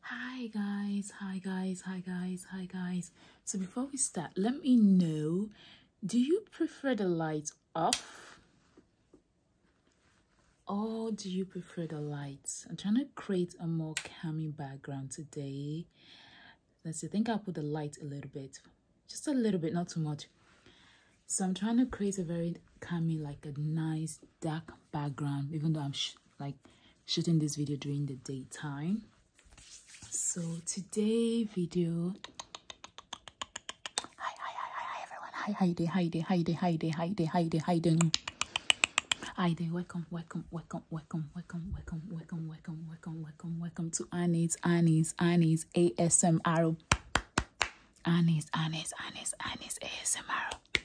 Hi guys, hi guys, hi guys, hi guys. So before we start, let me know, do you prefer the lights off? Or do you prefer the lights? I'm trying to create a more calming background today. Let's see, I think I'll put the light a little bit. Just a little bit, not too much. So I'm trying to create a very calming, like a nice dark background, even though I'm like shooting this video during the daytime so today video hi hi hi hi, hi everyone hi hi day hi day hi day hi day hi day hi day hi day hi day welcome welcome welcome welcome welcome welcome welcome welcome welcome welcome welcome to annie's annie's annie's asmr annie's annie's annie's annie's asmr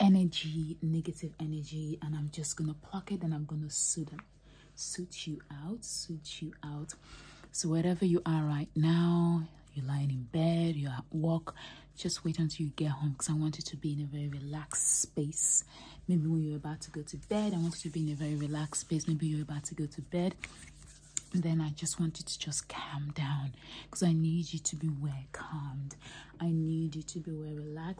energy, negative energy, and I'm just gonna pluck it and I'm gonna suit, them, suit you out, suit you out. So, wherever you are right now, you're lying in bed, you're at work, just wait until you get home because I want you to be in a very relaxed space. Maybe when you're about to go to bed, I want you to be in a very relaxed space. Maybe you're about to go to bed, and then I just want you to just calm down because I need you to be well calmed. I need you to be well relaxed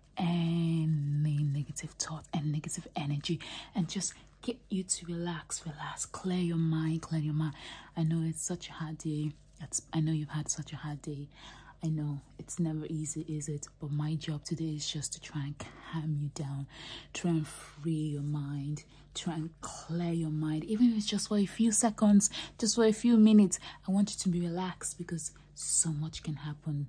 any negative thought and negative energy and just get you to relax, relax, clear your mind, clear your mind. I know it's such a hard day. I know you've had such a hard day. I know it's never easy, is it? But my job today is just to try and calm you down, try and free your mind, try and clear your mind, even if it's just for a few seconds, just for a few minutes. I want you to be relaxed because so much can happen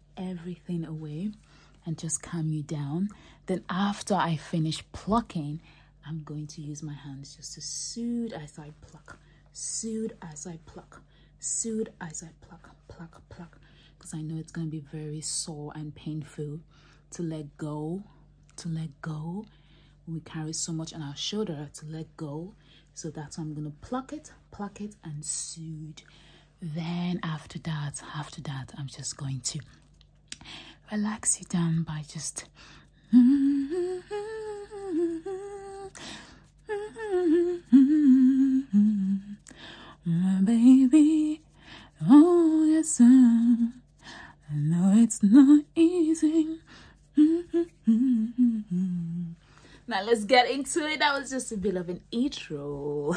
everything away and just calm you down. Then after I finish plucking, I'm going to use my hands just to soothe as I pluck, soothe as I pluck, soothe as I pluck, pluck, pluck. Because I know it's going to be very sore and painful to let go, to let go. We carry so much on our shoulder to let go. So that's why I'm going to pluck it, pluck it and soothe. Then after that, after that, I'm just going to relax you down by just my baby. Oh yes, I know it's not easy. now let's get into it. That was just a bit of in each row.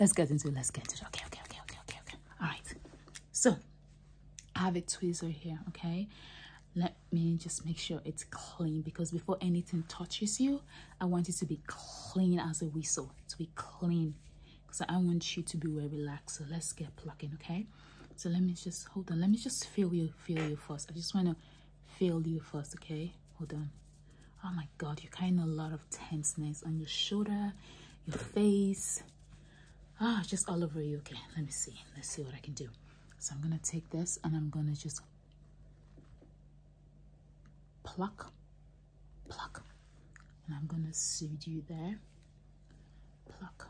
let's get into it. Let's get into it. Okay, okay, okay, okay, okay, All right. So I have a tweezer here, okay? Let me just make sure it's clean because before anything touches you, I want it to be clean as a whistle, to be clean. Because I want you to be very relaxed. So let's get plucking, okay? So let me just, hold on. Let me just feel you, feel you first. I just want to feel you first, okay? Hold on. Oh my my god you're carrying a lot of tenseness on your shoulder your face ah oh, just all over you okay let me see let's see what i can do so i'm gonna take this and i'm gonna just pluck pluck and i'm gonna soothe you there pluck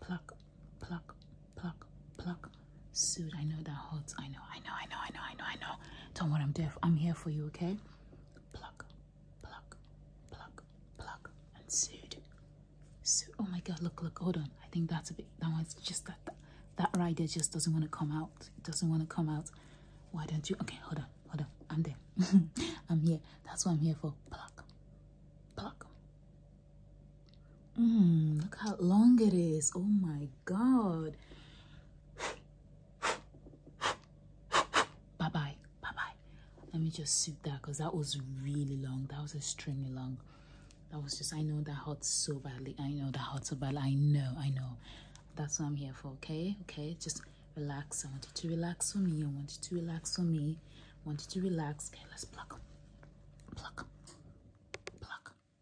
pluck pluck pluck pluck soothe i know that hurts i know i know i know i know i know i know don't worry, I'm deaf. I'm here for you, okay? Pluck, pluck, pluck, pluck, and soothe. soothe. Oh my God! Look, look. Hold on. I think that's a bit. That one's just that. That, that just doesn't want to come out. It doesn't want to come out. Why don't you? Okay, hold on, hold on. I'm there. I'm here. That's what I'm here for. Pluck, pluck. Mmm. Look how long it is. Oh my God. Bye bye. Bye bye. Let me just sit there because that was really long. That was extremely long. That was just, I know that hurts so badly. I know that hurts so bad. I know, I know. That's what I'm here for, okay? Okay, just relax. I want you to relax for me. I want you to relax for me. I want you to relax. Okay, let's pluck. Pluck. Pluck.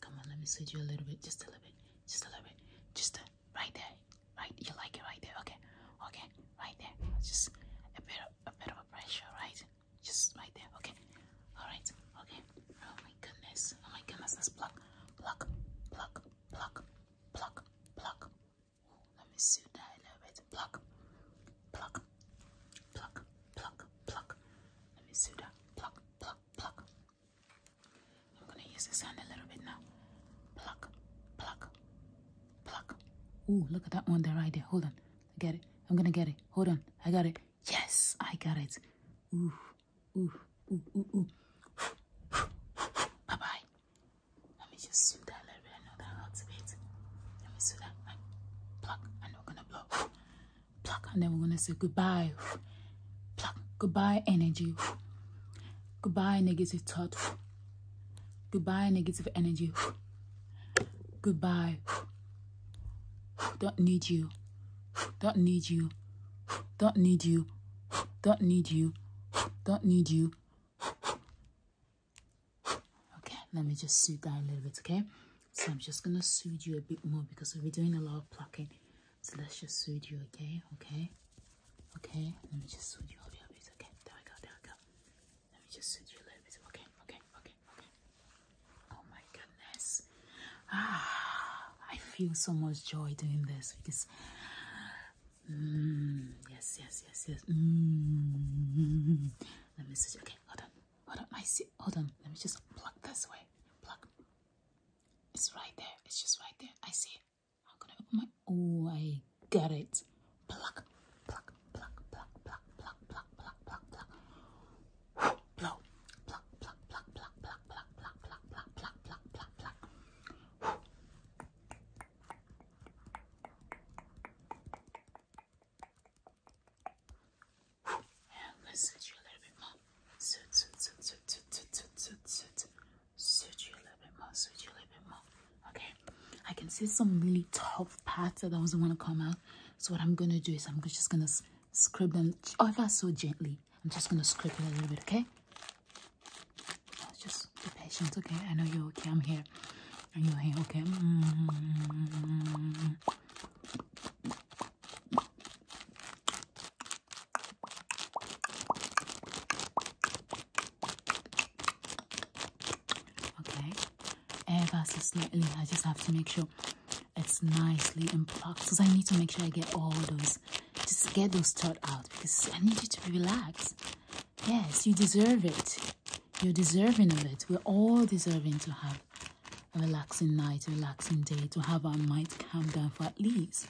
Come on, let me switch you a little bit, just a little bit, just a little bit, just a, right there, right. You like it right there, okay, okay, right there. Just a bit of a bit of a pressure, right? Just right there, okay. All right, okay. Oh my goodness, oh my goodness, let's pluck, pluck, pluck, pluck, pluck, pluck. Ooh, let me suit that a little bit. Pluck, pluck, pluck, pluck, pluck. Let me suit that. Pluck, pluck, pluck. I'm gonna use this hand a little bit now. Pluck, pluck, pluck. Ooh, look at that one there right there. Hold on. I get it. I'm gonna get it. Hold on. I got it. Yes, I got it. Ooh, ooh, ooh, ooh, ooh. Bye bye. Let me just sweep that a little bit. I know that hurts a bit. Let me sweep that. Right. Pluck. And we're gonna blow pluck and then we're gonna say goodbye pluck goodbye energy goodbye negative thought goodbye negative energy goodbye don't need you don't need you don't need you don't need you don't need you okay let me just sit down a little bit okay so I'm just gonna soothe you a bit more because we'll be doing a lot of plucking. So let's just soothe you, okay? Okay, okay. Let me just soothe you a little bit. Okay, there we go, there we go. Let me just soothe you a little bit. Okay, okay, okay, okay. Oh my goodness. Ah, I feel so much joy doing this because. Mm, yes, yes, yes, yes. Mm. Let me soothe you. Okay, hold on. What am I see? Hold on, let me just pluck this way. Pluck. It's right there. It's just right there. I see it. How can I open my? Oh, I got it. Pluck, pluck, pluck, pluck, pluck, pluck, pluck, pluck, pluck, pluck. Blow. Pluck, pluck, pluck, pluck, pluck, pluck, pluck, pluck, pluck, pluck, pluck, pluck, pluck let's search you a little bit more. Search, search, search, search, search, search, search you a little bit more. Search you a little bit more. Okay. I can see some really tough parts that I doesn't want to come out. So what I'm gonna do is I'm just gonna scrape them ever so gently. I'm just gonna scrape it a little bit. Okay. Just be patient. Okay. I know you're okay. I'm here. Are you here? Okay. Mm-hmm. Okay, ever so slightly. I just have to make sure it's nicely in plucked because I need to make sure I get all those, just get those thought out because I need you to relax. Yes, you deserve it. You're deserving of it. We're all deserving to have a relaxing night, a relaxing day, to have our mind calm down for at least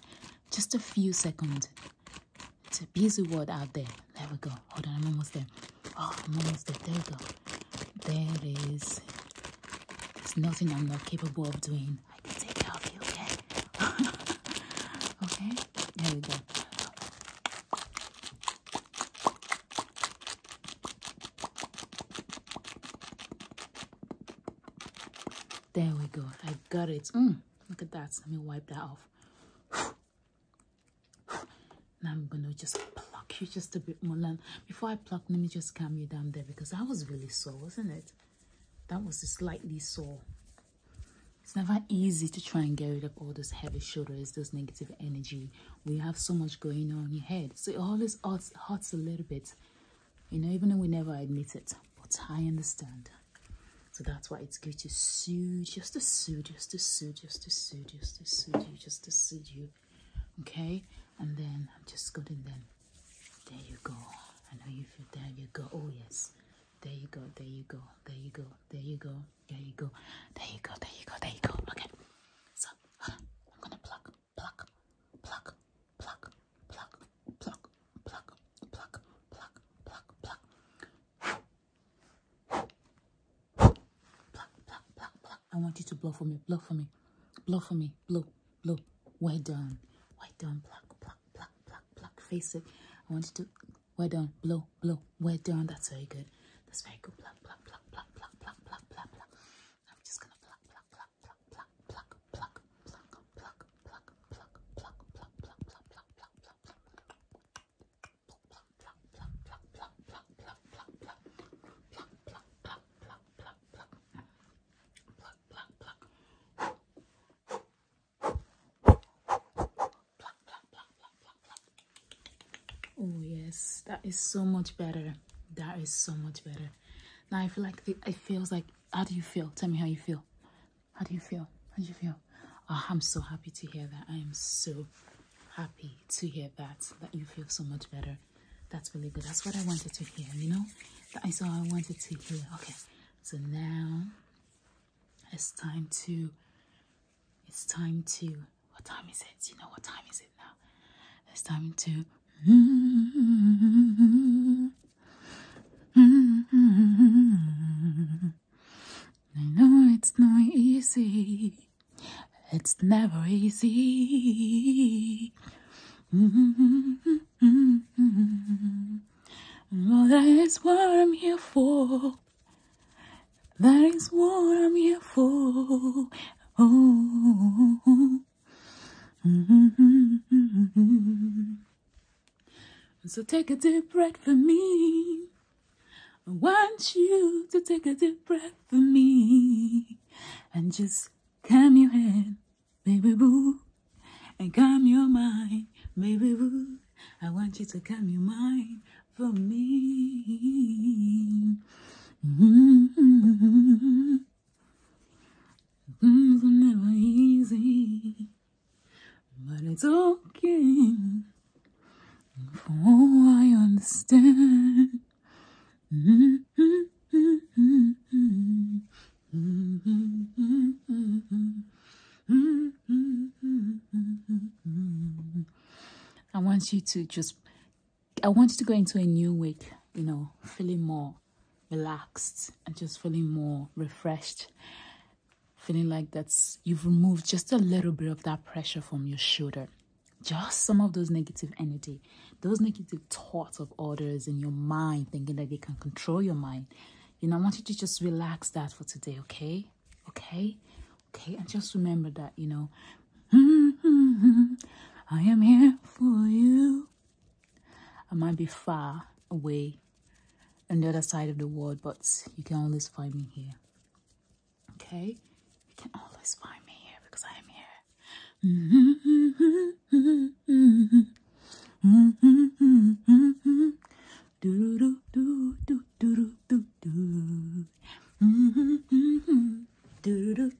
just a few seconds. It's a busy world out there. There we go. Hold on, I'm almost there. Oh, I'm almost there. There we go. There it is. There's nothing I'm not capable of doing. I can take care of you, okay? okay? There we go. There we go. I got it. Mm, look at that. Let me wipe that off. Now I'm gonna just pluck you just a bit more. And before I pluck, let me just calm you down there because that was really sore, wasn't it? That was slightly sore. It's never easy to try and get rid of all those heavy shoulders, those negative energy. We have so much going on in your head. So it always hurts a little bit. You know, even though we never admit it, but I understand. So that's why it's good to sue, just to sue, just to sue, just to sue, just to soothe you, just to soothe you. Okay? And then I'm just going to then, there you go. I know you feel, there you go. Oh, yes. There you go, there you go, there you go, there you go, there you go, there you go, there you go, there you go. Okay. So, I'm going to plug pluck, pluck, pluck, pluck, pluck, pluck, pluck, pluck, pluck, pluck. Pluck, pluck, pluck, pluck. I want you to blow for me, blow for me, blow for me, blow, blow. Well done. Well done, pluck, pluck, pluck, pluck, pluck. Face it. I want you to well done, blow, blow, well done. That's very good. That's very good. Pluck, pluck, pluck, pluck, pluck, pluck, pluck, pluck, pluck. I'm just gonna Oh, yes, that is so much better. That is so much better. Now I feel like it feels like. How do you feel? Tell me how you feel. How do you feel? How do you feel? Oh, I'm so happy to hear that. I am so happy to hear that. That you feel so much better. That's really good. That's what I wanted to hear. You know, I saw. I wanted to hear. Okay, so now it's time to. It's time to. What time is it? You know what time is it? It's time to. Mm-hmm. I know it's not easy. It's never easy. Mm-hmm. Well, that is what I'm here for. That is what I'm here for. Oh, Mm-hmm. So take a deep breath for me. I want you to take a deep breath for me. And just calm your head, baby boo. And calm your mind, baby boo. I want you to calm your mind for me. Mm-hmm. Things were never easy, but it's okay. For oh, all I understand. I want you to just I want you to go into a new week, you know, feeling more relaxed and just feeling more refreshed. Feeling like that's you've removed just a little bit of that pressure from your shoulder. Just some of those negative energy, those negative thoughts of others in your mind, thinking that they can control your mind. You know, I want you to just relax that for today, okay? Okay? Okay, and just remember that, you know, I am here for you. I might be far away on the other side of the world, but you can always find me here. Okay? You can always find me here because I am here.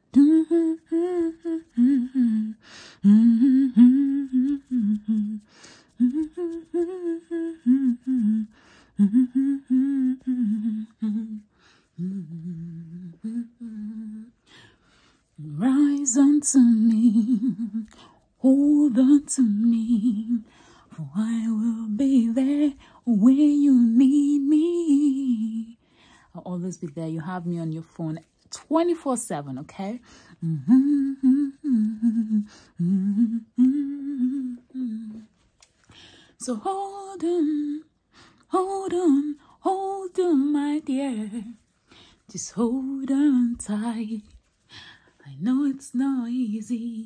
Rise unto me, hold unto me, for I will be there when you need me. I'll always be there. You have me on your phone 24 7, okay? so hold on, hold on, hold on, my dear. Just hold on tight. I know it's not easy.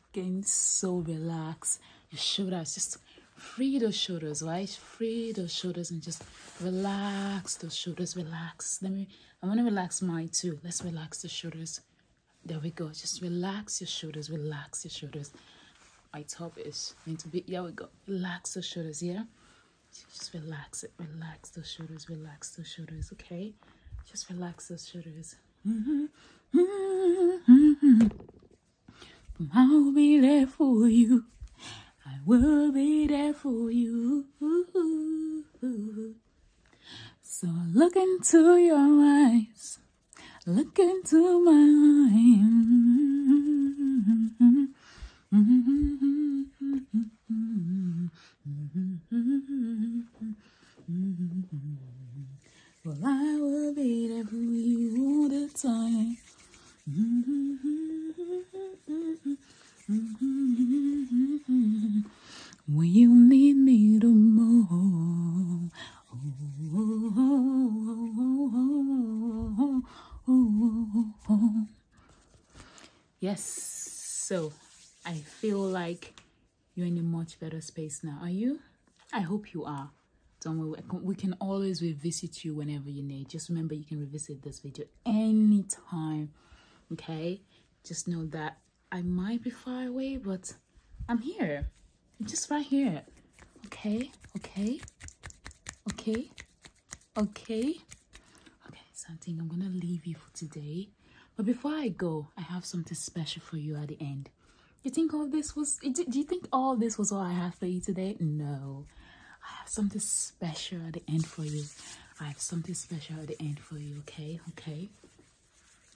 Getting so relaxed. Your shoulders, just free those shoulders, right? Free those shoulders and just relax those shoulders. Relax. Let me. I want to relax mine too. Let's relax the shoulders. There we go. Just relax your shoulders. Relax your shoulders. My top is going to be. Here we go. Relax those shoulders. Yeah. Just relax it. Relax those shoulders. Relax those shoulders. Okay. Just relax those shoulders. Mm-hmm. Mm-hmm. I'll be there for you. I will be there for you. So look into your eyes. Look into my eyes. Well, I will be there for you all the time. When you need me the more. Oh, oh, oh, yes, so I feel like you're in a much better space now, are you? I hope you are. Don't worry, we can always revisit you whenever you need. Just remember you can revisit this video anytime, okay? Just know that I might be far away, but I'm here. just right here. Okay, okay, okay, okay. Okay, so I think I'm gonna leave you for today. But before I go, I have something special for you at the end. You think all this was, do you think all this was all I have for you today? No. I have something special at the end for you. I have something special at the end for you, okay? Okay.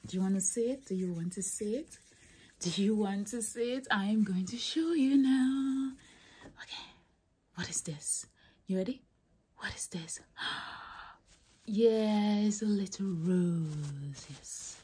Do you want to see it? Do you want to see it? Do you want to see it? I am going to show you now. Okay. What is this? You ready? What is this? yes, a little rose. Yes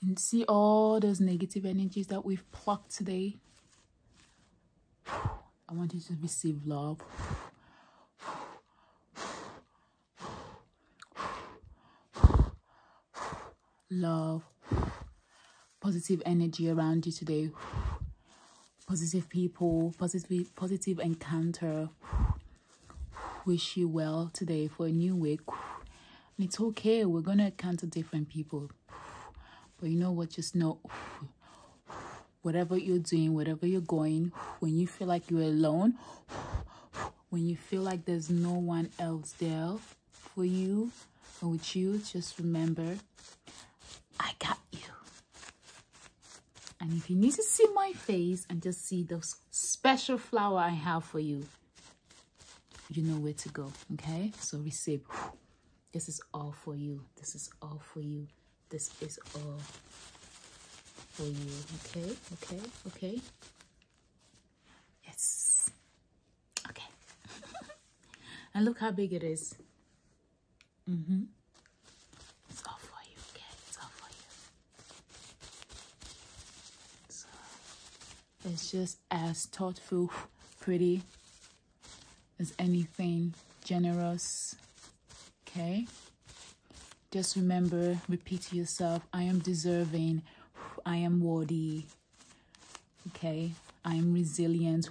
You see all those negative energies that we've plucked today. I want you to receive love. Love. Positive energy around you today. Positive people. Positive, positive encounter. Wish you well today for a new week. And it's okay. We're going to encounter different people. But you know what? Just know whatever you're doing, whatever you're going, when you feel like you're alone, when you feel like there's no one else there for you or with you, just remember, I got you. And if you need to see my face and just see the special flower I have for you, you know where to go okay so receive this is all for you this is all for you this is all for you okay okay okay yes okay and look how big it is mm-hmm it's all for you okay it's all for you it's just as thoughtful, pretty as anything, generous. Okay? Just remember, repeat to yourself, I am deserving, I am worthy. Okay? I am resilient.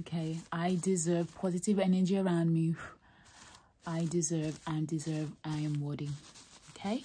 Okay? I deserve positive energy around me. I deserve, I deserve, I am worthy. Okay?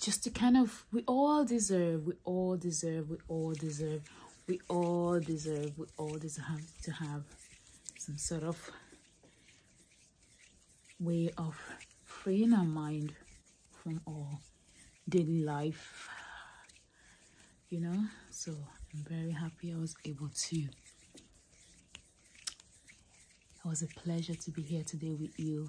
just to kind of we all deserve we all deserve we all deserve we all deserve we all deserve to have some sort of way of freeing our mind from all daily life you know so i'm very happy i was able to it was a pleasure to be here today with you